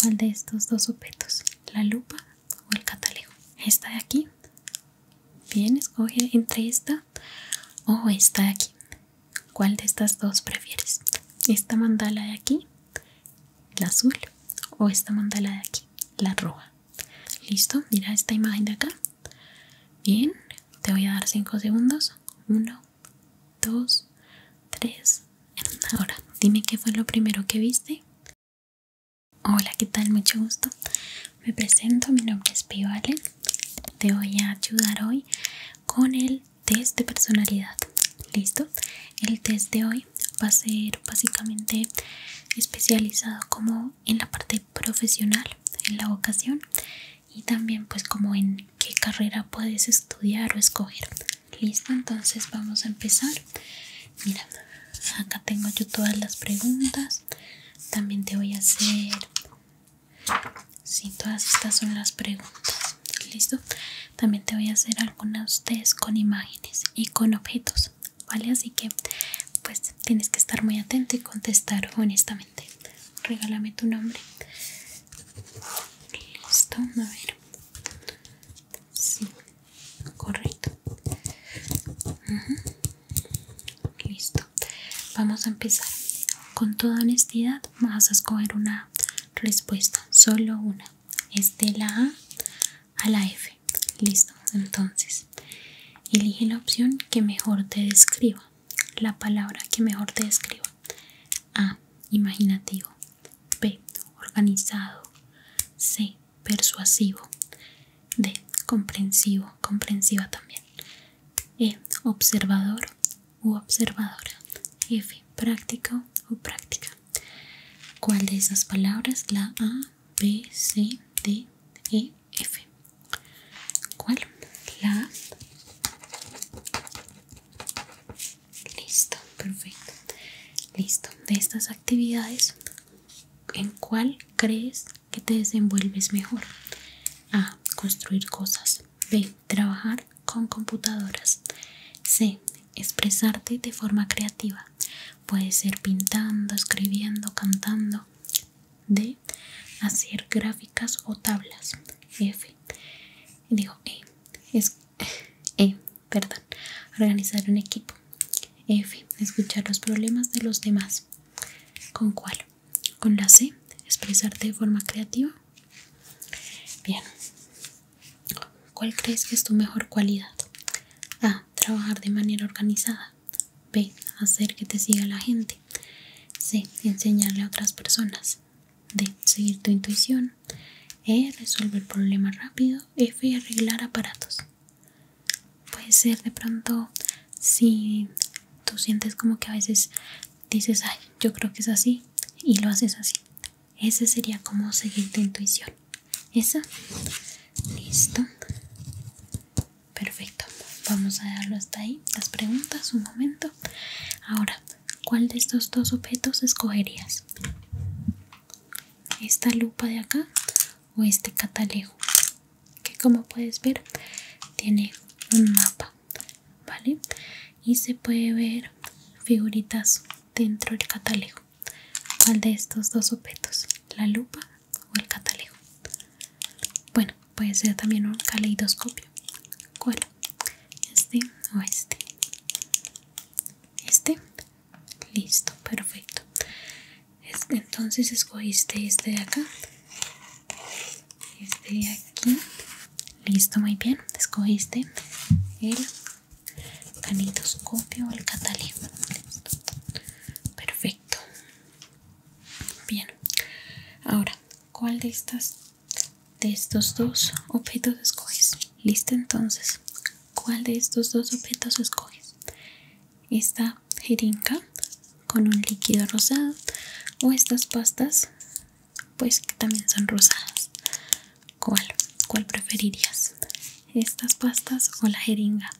¿Cuál de estos dos objetos? ¿La lupa o el catalejo? Esta de aquí. Bien, escoge entre esta o esta de aquí. ¿Cuál de estas dos prefieres? ¿Esta mandala de aquí? ¿La azul? ¿O esta mandala de aquí? La roja. Listo, mira esta imagen de acá. Bien, te voy a dar 5 segundos. Uno. 2, tres. Ahora, dime qué fue lo primero que viste. Hola, ¿qué tal? Mucho gusto. Me presento, mi nombre es Pío Te voy a ayudar hoy con el test de personalidad. ¿Listo? El test de hoy va a ser básicamente especializado como en la parte profesional, en la vocación y también pues como en qué carrera puedes estudiar o escoger. Listo, entonces vamos a empezar. Mira, acá tengo yo todas las preguntas. También te voy a hacer... Sí, todas estas son las preguntas. Listo. También te voy a hacer algunas ustedes con imágenes y con objetos. ¿Vale? Así que pues tienes que estar muy atento y contestar honestamente. Regálame tu nombre. Listo, a ver. Sí, correcto. Listo. Vamos a empezar. Con toda honestidad vas a escoger una respuesta, solo una. Es de la A a la F. Listo. Entonces, elige la opción que mejor te describa. La palabra que mejor te describa. A. Imaginativo. B. Organizado. C. Persuasivo. D. Comprensivo. Comprensiva también. E. Observador u observadora. F. Práctico o práctica. ¿Cuál de esas palabras? La A, B, C, D, E, F. ¿Cuál? La Listo, perfecto. Listo, de estas actividades, ¿en cuál crees que te desenvuelves mejor? A. Construir cosas. B. Trabajar con computadoras. C. Expresarte de forma creativa. Puede ser pintando, escribiendo, cantando. D. Hacer gráficas o tablas. F. Digo, E. Es e. Perdón. Organizar un equipo. F. Escuchar los problemas de los demás. ¿Con cuál? Con la C. Expresarte de forma creativa. Bien. ¿Cuál crees que es tu mejor cualidad? A. Trabajar de manera organizada. B. Hacer que te siga la gente. C. Enseñarle a otras personas de Seguir tu intuición. E. Resolver problemas rápido. F. Arreglar aparatos. Puede ser de pronto si tú sientes como que a veces dices, ay, yo creo que es así y lo haces así. Ese sería como seguir tu intuición. Esa. Listo. Perfecto. Vamos a darlo hasta ahí. Las preguntas, un momento. Ahora, ¿cuál de estos dos objetos escogerías? ¿Esta lupa de acá o este catalejo? Que como puedes ver tiene un mapa, ¿vale? Y se puede ver figuritas dentro del catalejo. ¿Cuál de estos dos objetos? ¿La lupa o el catalejo? Bueno, puede ser también un caleidoscopio cuál este o este este listo perfecto entonces escogiste este de acá este de aquí listo muy bien escogiste el canitoscopio o el listo, perfecto bien ahora cuál de estas de estos dos objetos escoges. Listo entonces. ¿Cuál de estos dos objetos escoges? Esta jeringa con un líquido rosado o estas pastas pues que también son rosadas. ¿Cuál? ¿Cuál preferirías? ¿Estas pastas o la jeringa?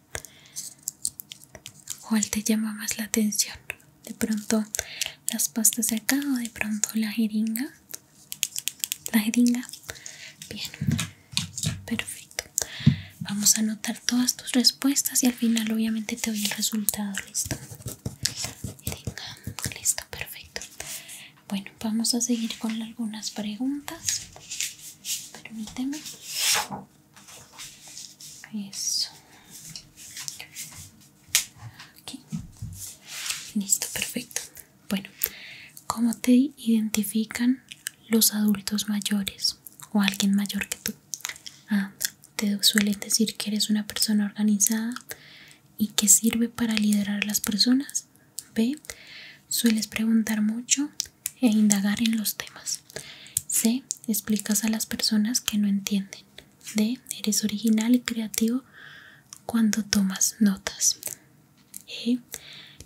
¿Cuál te llama más la atención? De pronto las pastas de acá o de pronto la jeringa la jeringa. Bien, perfecto. Vamos a anotar todas tus respuestas y al final obviamente te doy el resultado. Listo. listo, perfecto. Bueno, vamos a seguir con algunas preguntas. Permíteme. Eso. Listo, perfecto. Bueno, ¿cómo te identifican los adultos mayores o alguien mayor que tú? A ah, te suelen decir que eres una persona organizada y que sirve para liderar a las personas. B. Sueles preguntar mucho e indagar en los temas. C. Explicas a las personas que no entienden. D. Eres original y creativo cuando tomas notas. E.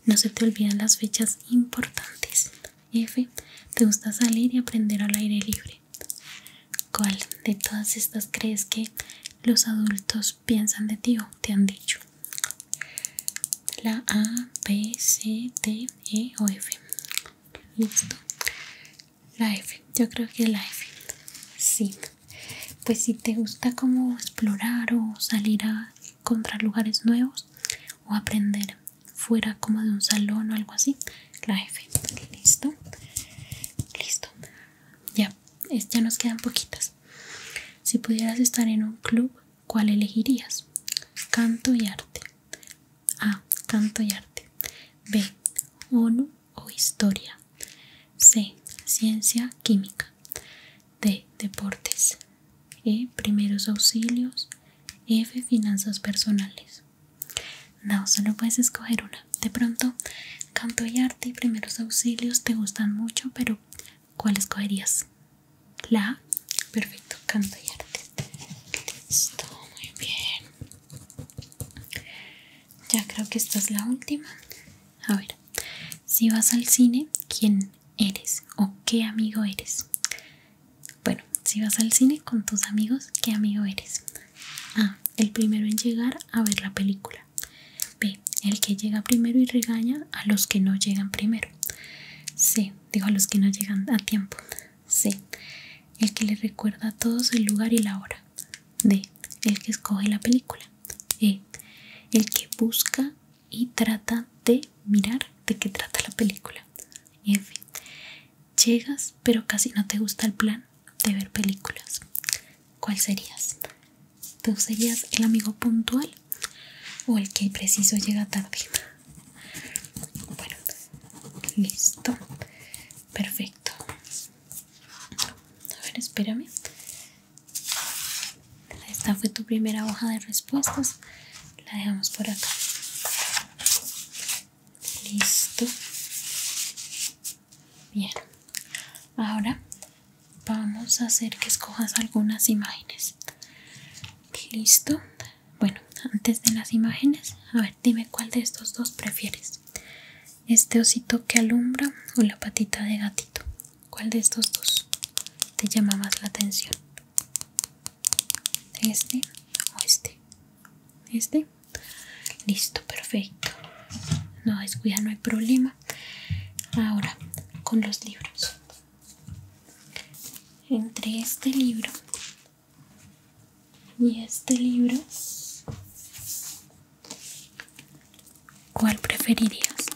No se te olvidan las fechas importantes. F. Te gusta salir y aprender al aire libre. ¿Cuál de todas estas crees que los adultos piensan de ti o te han dicho? La A, B, C, D, E o F. Listo. La F, yo creo que la F, Sí. Pues si te gusta como explorar o salir a encontrar lugares nuevos o aprender fuera como de un salón o algo así, La F, Listo. Listo. Ya, ya nos quedan poquitas. Si pudieras estar en un club, ¿cuál elegirías? Canto y arte. A. Canto y arte. B. ONU o historia. C. Ciencia química. D. Deportes. E. Primeros auxilios. F. Finanzas personales. No, solo puedes escoger una. De pronto, canto y arte y primeros auxilios te gustan mucho, pero ¿cuál escogerías? La Perfecto, canto y arte. Listo, muy bien. Ya creo que esta es la última. A ver, si vas al cine, ¿quién eres o qué amigo eres? Bueno, si vas al cine con tus amigos, ¿qué amigo eres? A, el primero en llegar a ver la película. B, el que llega primero y regaña a los que no llegan primero. C, digo a los que no llegan a tiempo. C, el que le recuerda a todos el lugar y la hora. D. El que escoge la película. E. El que busca y trata de mirar de qué trata la película. F. Llegas pero casi no te gusta el plan de ver películas. ¿Cuál serías? ¿Tú serías el amigo puntual o el que preciso llega tarde? Bueno, listo. Perfecto. A ver, espérame. Esta fue tu primera hoja de respuestas. La dejamos por acá. Listo. Bien. Ahora vamos a hacer que escojas algunas imágenes. Listo. Bueno, antes de las imágenes, a ver, dime cuál de estos dos prefieres este osito que alumbra o la patita de gatito cuál de estos dos te llama más la atención este o este este listo perfecto no descuida no hay problema ahora con los libros entre este libro ¿Y este libro? ¿Cuál preferirías?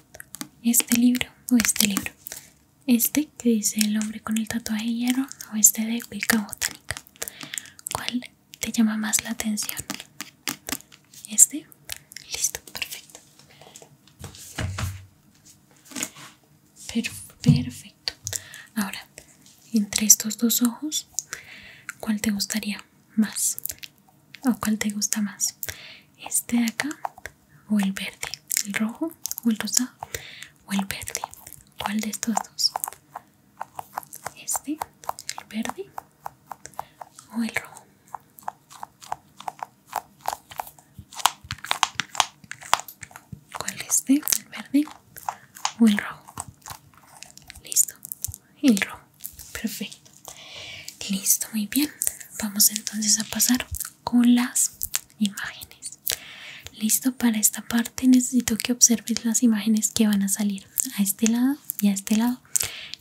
¿Este libro o este libro? ¿Este que dice el hombre con el tatuaje de hierro o este de Wicca Botánica? ¿Cuál te llama más la atención? ¿Este? Listo, perfecto. Perfecto ahora entre estos dos ojos cuál te gustaría más o cuál te gusta más este de acá o el verde el rojo o el rosado o el verde cuál de estos dos este el verde o el rojo cuál es este el verde o el rojo Listo. El rojo. Perfecto. Listo, muy bien. Vamos entonces a pasar con las imágenes. Listo, para esta parte necesito que observes las imágenes que van a salir a este lado y a este lado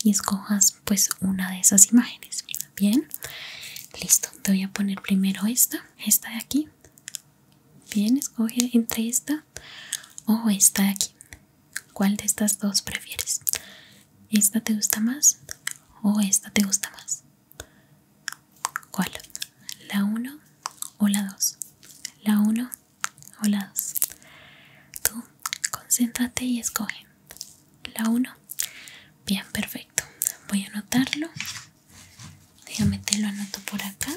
y escojas pues una de esas imágenes. Bien. Listo, te voy a poner primero esta, esta de aquí. Bien, escoge entre esta o oh, esta de aquí? ¿Cuál de estas dos prefieres? ¿Esta te gusta más o esta te gusta más? ¿Cuál? ¿La 1 o la 2? ¿La 1 o la 2? Tú concéntrate y escoge. ¿La 1? Bien, perfecto. Voy a anotarlo. Déjame te lo anoto por acá.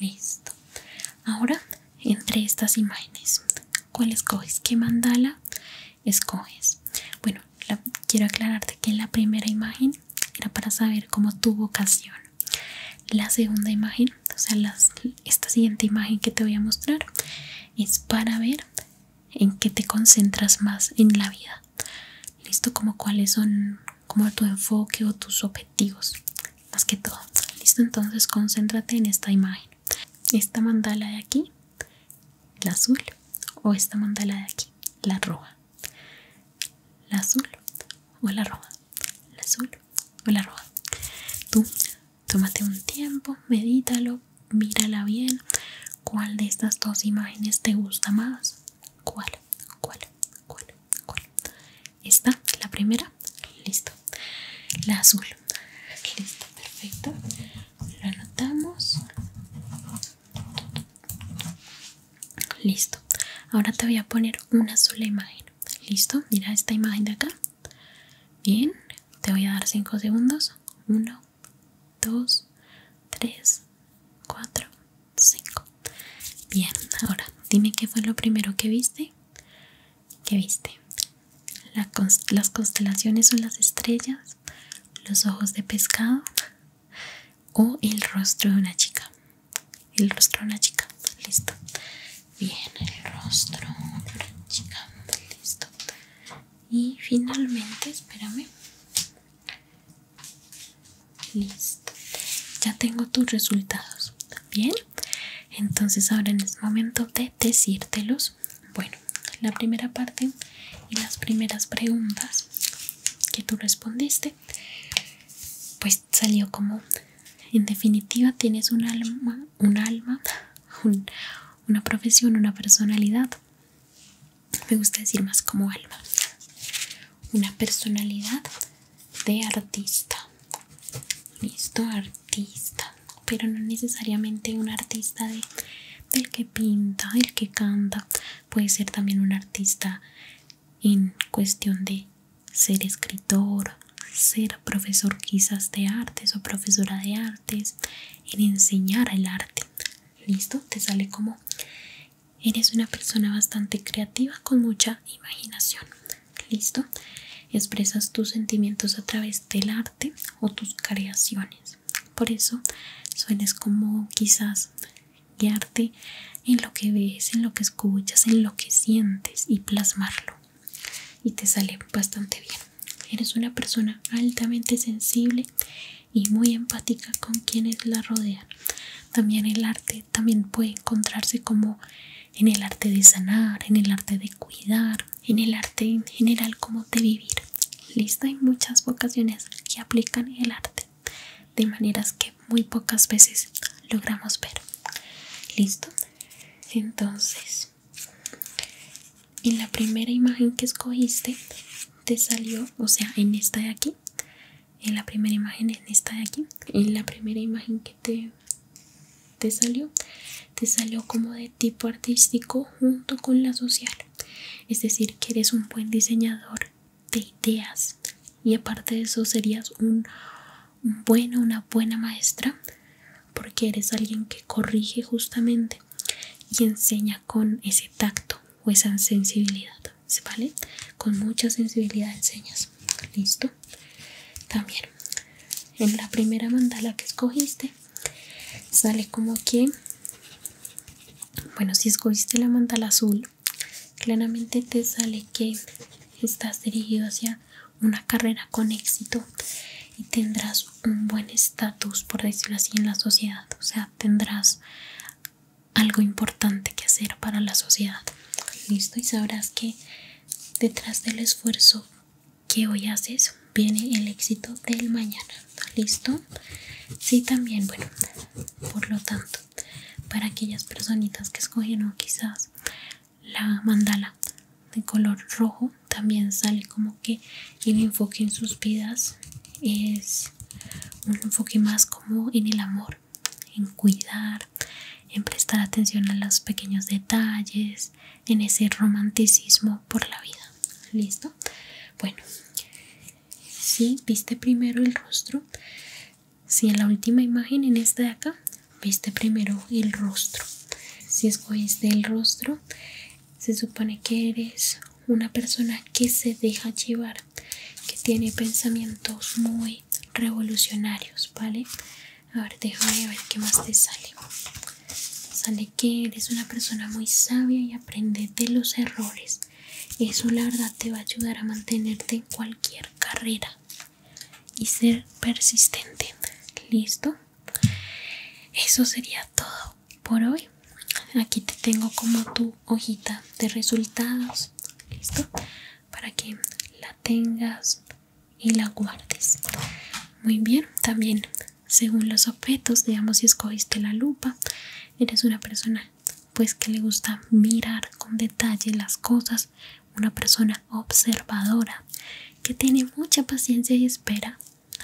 Listo. Ahora, entre estas imágenes, ¿cuál escoges? ¿Qué mandala escoges? Bueno, quiero aclararte que la primera imagen era para saber cómo tu vocación. La segunda imagen, o sea, esta siguiente imagen que te voy a mostrar, es para ver en qué te concentras más en la vida listo como cuáles son como tu enfoque o tus objetivos más que todo listo entonces concéntrate en esta imagen esta mandala de aquí la azul o esta mandala de aquí la roja la azul o la roja la azul o la roja tú tómate un tiempo medítalo mírala bien ¿Cuál de estas dos imágenes te gusta más? ¿Cuál? ¿Cuál? ¿Cuál? Esta, la primera, listo. La azul, listo, perfecto. Lo anotamos. Listo. Ahora te voy a poner una sola imagen. Listo, mira esta imagen de acá. Bien, te voy a dar 5 segundos. 1, 2 3 4 5 bien ahora dime qué fue lo primero que viste ¿Qué viste las constelaciones son las estrellas los ojos de pescado o el rostro de una chica el rostro de una chica listo bien el rostro de una chica listo y finalmente espérame Listo, ya tengo tus resultados. Bien, entonces ahora en es este momento de decírtelos. Bueno, la primera parte y las primeras preguntas que tú respondiste, pues salió como: en definitiva, tienes un alma, un alma, una profesión, una personalidad me gusta decir más como alma, una personalidad de artista, listo, artista, pero no necesariamente un artista de, del que pinta, el que canta, puede ser también un artista en cuestión de ser escritor, ser profesor quizás de artes o profesora de artes, en enseñar el arte listo te sale como eres una persona bastante creativa con mucha imaginación listo expresas tus sentimientos a través del arte o tus creaciones por eso sueles como quizás guiarte en lo que ves en lo que escuchas en lo que sientes y plasmarlo y te sale bastante bien eres una persona altamente sensible y muy empática con quienes la rodean. También el arte también puede encontrarse como en el arte de sanar, en el arte de cuidar, en el arte en general como de vivir. Listo, hay muchas vocaciones que aplican el arte de maneras que muy pocas veces logramos ver. Listo, entonces en la primera imagen que escogiste te salió, o sea, en esta de aquí, en la primera imagen, en esta de aquí, en la primera imagen que te, salió, te salió como de tipo artístico junto con la social. Es decir, que eres un buen diseñador de ideas y aparte de eso serías un bueno, una buena maestra porque eres alguien que corrige justamente y enseña con ese tacto o esa sensibilidad, ¿vale? Con mucha sensibilidad señas, listo. También en la primera mandala que escogiste sale como que, bueno, si escogiste la mandala azul, claramente te sale que estás dirigido hacia una carrera con éxito y tendrás un buen estatus, por decirlo así, en la sociedad o sea, tendrás algo importante que hacer para la sociedad. Listo, y sabrás que detrás del esfuerzo que hoy haces viene el éxito del mañana. Listo, sí, también, bueno, por lo tanto, para aquellas personitas que escogieron quizás la mandala de color rojo, también sale como que el enfoque en sus vidas es un enfoque más como en el amor, en cuidar, en prestar atención a los pequeños detalles, en ese romanticismo por la vida. ¿Listo? Bueno, si viste primero el rostro, si en la última imagen, en esta de acá, viste primero el rostro. Si es escogiste del rostro, se supone que eres una persona que se deja llevar, que tiene pensamientos muy revolucionarios, ¿vale? A ver, déjame ver qué más te sale. Sale que eres una persona muy sabia y aprende de los errores. Eso la verdad te va a ayudar a mantenerte en cualquier carrera y ser persistente. ¿Listo? Eso sería todo por hoy aquí te tengo como tu hojita de resultados listo para que la tengas y la guardes muy bien también según los objetos digamos si escogiste la lupa eres una persona pues que le gusta mirar con detalle las cosas una persona observadora que tiene mucha paciencia y espera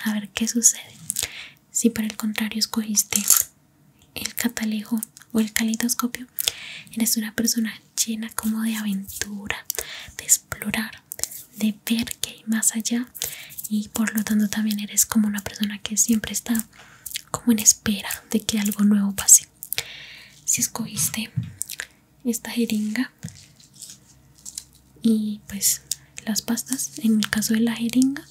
a ver qué sucede si por el contrario escogiste el catalejo o el caleidoscopio eres una persona llena como de aventura de explorar de ver qué hay más allá y por lo tanto también eres como una persona que siempre está como en espera de que algo nuevo pase si escogiste esta jeringa y pues las pastas en el caso de la jeringa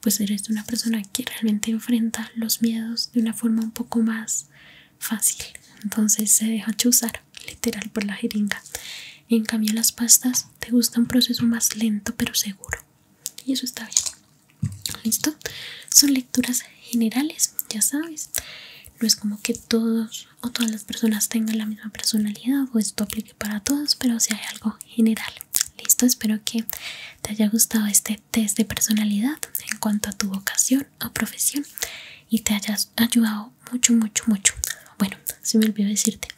pues eres una persona que realmente enfrenta los miedos de una forma un poco más fácil entonces se deja chuzar literal por la jeringa en cambio las pastas te gusta un proceso más lento pero seguro y eso está bien listo son lecturas generales ya sabes no es como que todos o todas las personas tengan la misma personalidad o esto para todos, pero si hay algo general. Listo, espero que te haya gustado este test de personalidad en cuanto a tu vocación o profesión y te hayas ayudado mucho, mucho, mucho. Bueno, se me olvidó decirte,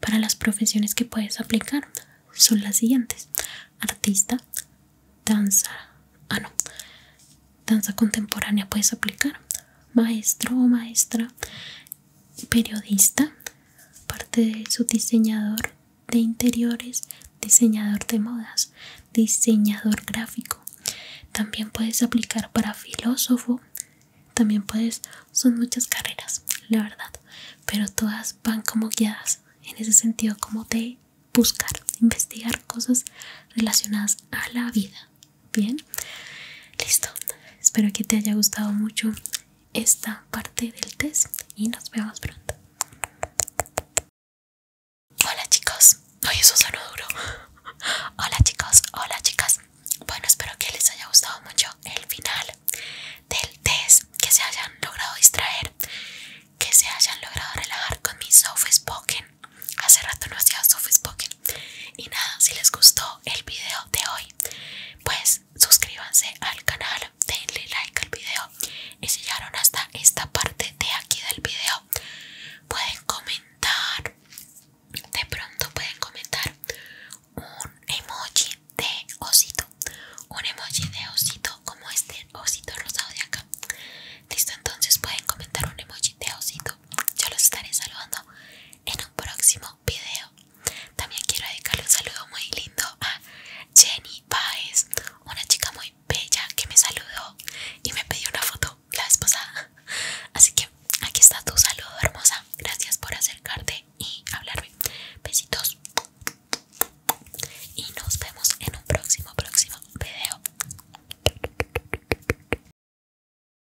para las profesiones que puedes aplicar son las siguientes. Artista, danza, ah no, danza contemporánea puedes aplicar, maestro o maestra periodista, parte de su diseñador de interiores, diseñador de modas, diseñador gráfico. También puedes aplicar para filósofo, también puedes, son muchas carreras, la verdad, pero todas van como guiadas en ese sentido como de buscar, investigar cosas relacionadas a la vida. Bien, listo. Espero que te haya gustado mucho esta parte del test y nos vemos pronto. Hola chicos, hoy eso un duro. Hola chicos, hola chicas. Bueno, espero que les haya gustado mucho el final del test, que se hayan logrado distraer, que se hayan logrado relajar con mi soft spoken. Hace rato no hacía soft spoken. Y nada, si les gustó el video de hoy pues suscríbanse al canal, denle like al video y si llegaron hasta esta parte de aquí del video pueden comentar, de pronto pueden comentar un emoji de osito, un emoji de osito como este osito rosado de acá. Listo, entonces pueden comentar un emoji de osito yo los estaré saludando en un próximo video. También quiero dedicarle un saludo muy lindo a Jenny Paes, una chica muy bella que me saludó y me pidió una foto la esposa. Así que aquí está tu saludo, hermosa. Gracias por acercarte y hablarme. Besitos. Y nos vemos en un próximo, próximo video.